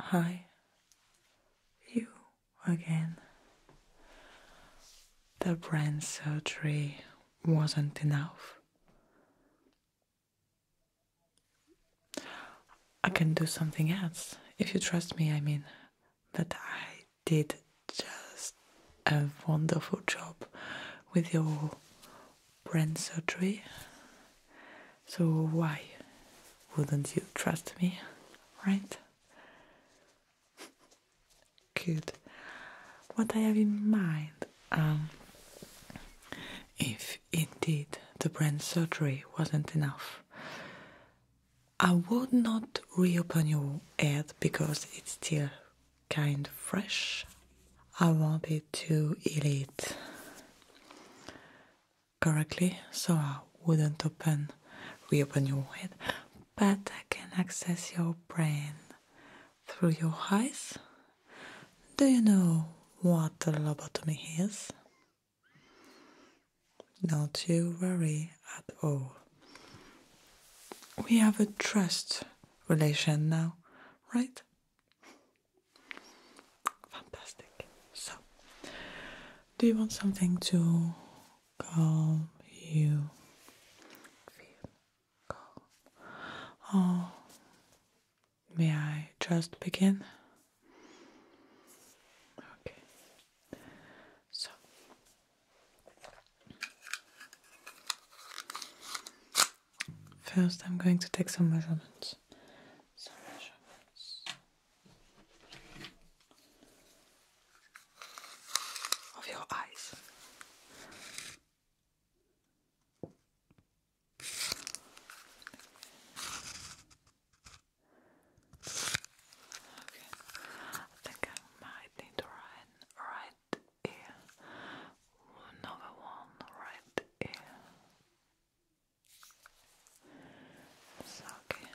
Hi, you again. The brain surgery wasn't enough. I can do something else. If you trust me, I mean. But I did just a wonderful job with your brain surgery. So why wouldn't you trust me, right? Good. What I have in mind, um, if indeed the brain surgery wasn't enough, I would not reopen your head because it's still kind of fresh. I wanted to eat it correctly, so I wouldn't open reopen your head, but I can access your brain through your eyes. Do you know what a lobotomy is? Not to worry at all. We have a trust relation now, right? Fantastic. So, do you want something to calm you? Oh, May I just begin? Okay. So first I'm going to take some measurements. Of your eyes. Okay, I think I might need to write right ear, another one right ear. Okay.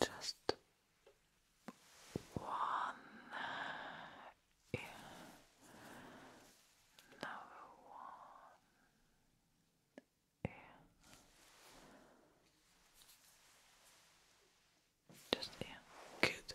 Just one ear. Another one ear. Just ear. Good.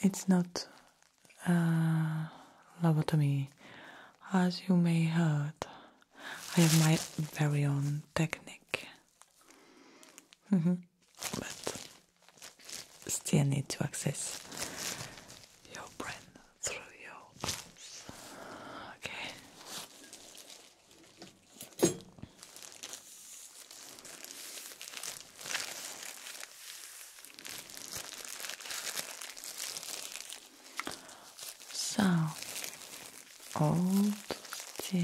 it's not uh, lobotomy, as you may heard. I have my very own technique, mm-hmm. but still need to access your brain through your eyes. Okay. So old still,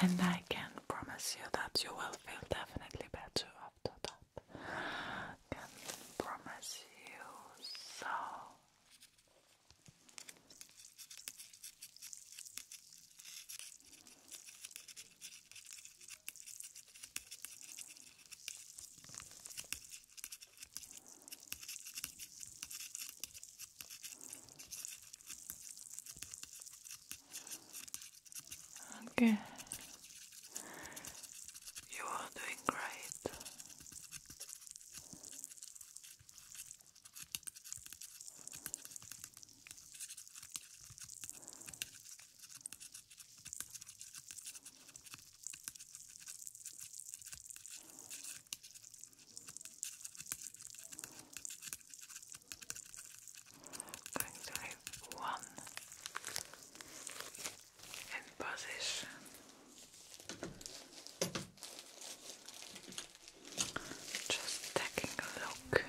and I can promise you that you will feel definitely better after that. Can promise you so. Okay. You are doing great. Going to leave one in position. Just taking a look. Okay.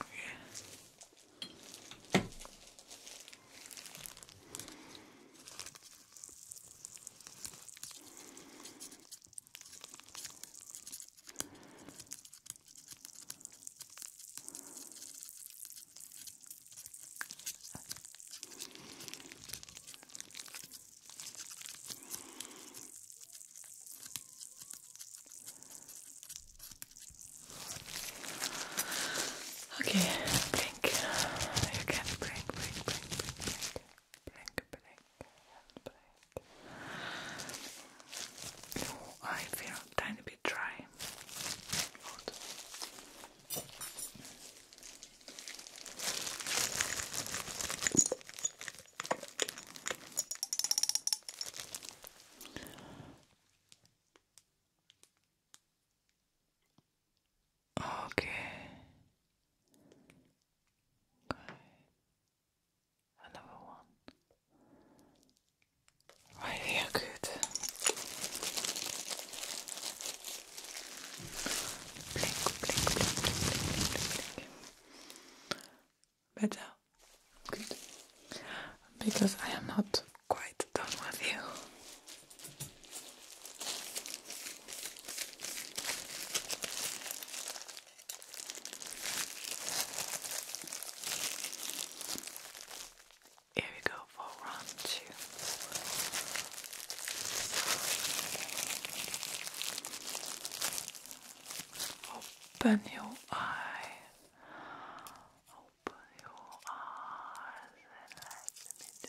Okay. Okay, blink. You can blink, blink, blink, blink, blink, blink, blink, blink. Oh, I feel tiny Try. okay. Another one. Idea oh, good. Blink, blink, blink, blink, blink, blink. Better. Good. Because I am not quite done with you. Here we go for round two. Open your eye. Open your eyes and let me do.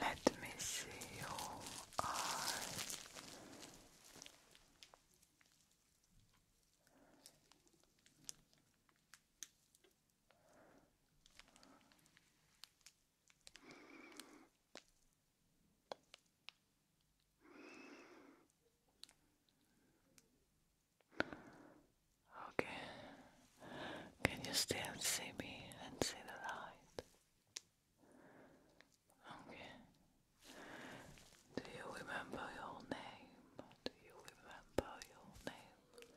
Let me see your eyes. Okay. Can you still see me and see the light? Okay. Do you remember your name? Do you remember your name?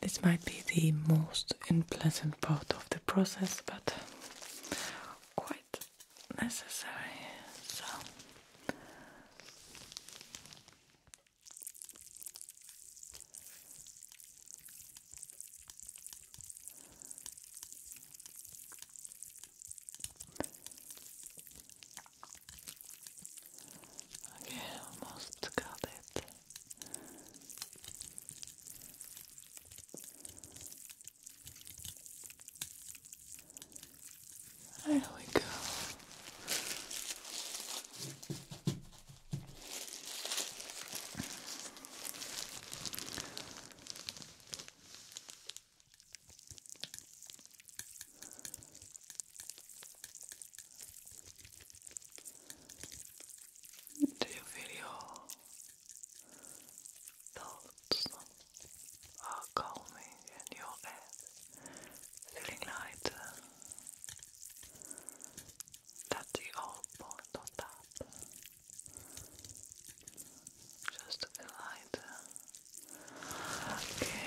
This might be the most unpleasant part of the process, but quite necessary. So. Okay, almost got it. There we go. Do you feel thoughts are calming and your head feeling lighter? That's the whole point of that. Just a bit And once again.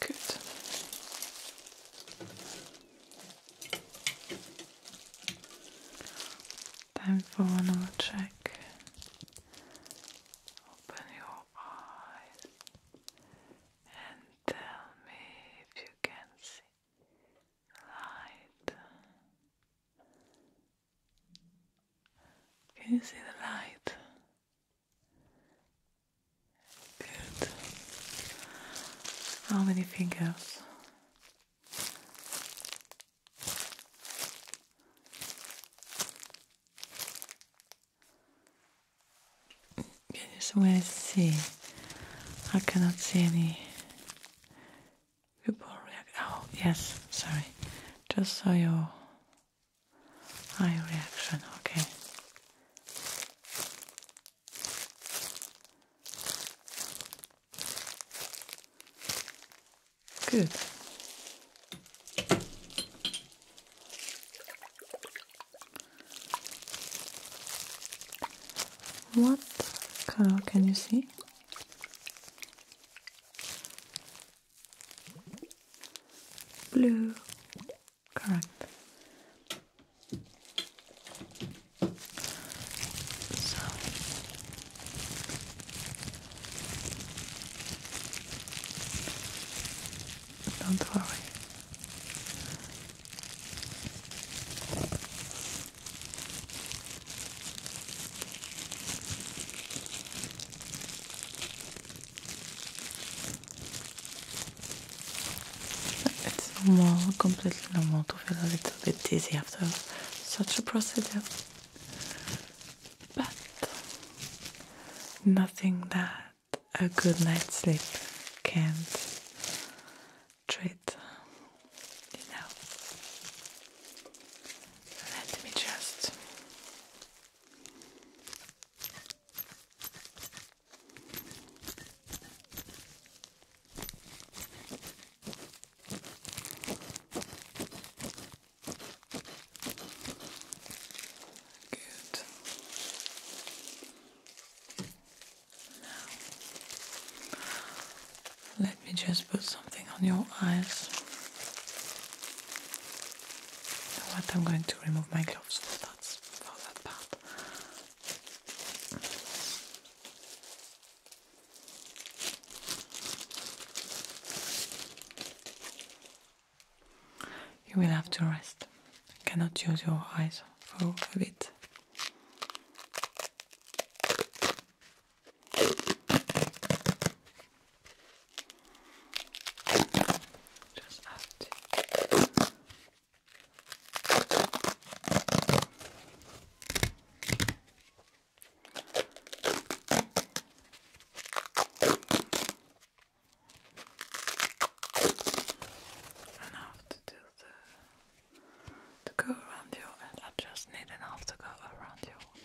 Good. Time for one more check. Open your eyes and tell me if you can see light. Can you see the light? Good. How many fingers? Can you somewhere see? I cannot see any Hyporeaction. Oh, yes, sorry. Just saw your eye reaction. Okay. Good. What color can you see? Blue. Correct. don't worry. It's normal, completely normal to feel a little bit dizzy after such a procedure. But nothing that a good night's sleep can't treat, you know. Let me just Good. Now let me just put something on your eyes. You what? I'm going to remove my gloves for for that part. You will have to rest. cannot use your eyes for a bit. Just out. And have to do the to go around you and I just need enough to go around you,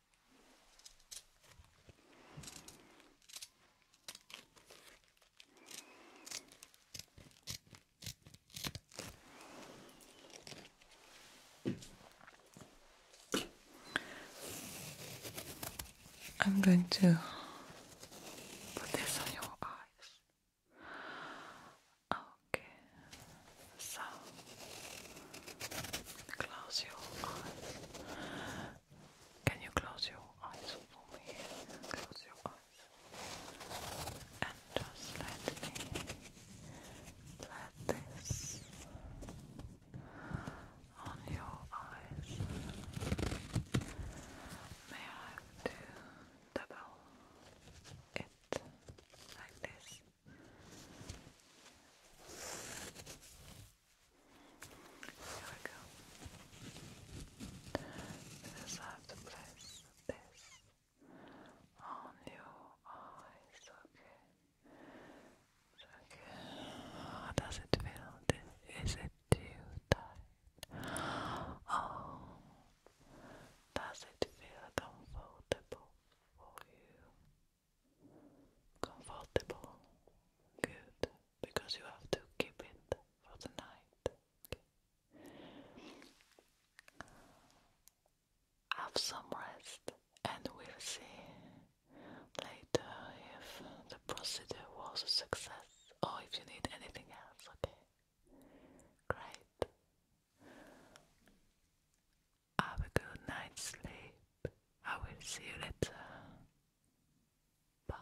I'm going to put this on your eyes. Okay, so close your eyes can you close your eyes for me? Close your eyes. And just let me let this on your eyes. May I do double it like this? Here we go. This has to place this on your eyes, okay? okay. How does it feel? Is it too tight? Oh, does it feel comfortable for you? comfortable. Good, because you have to keep it for the night. Have some rest, and we'll see later if the procedure was a success or if you need anything else. Okay, great. Have a good night's sleep. I will see you later. Bye.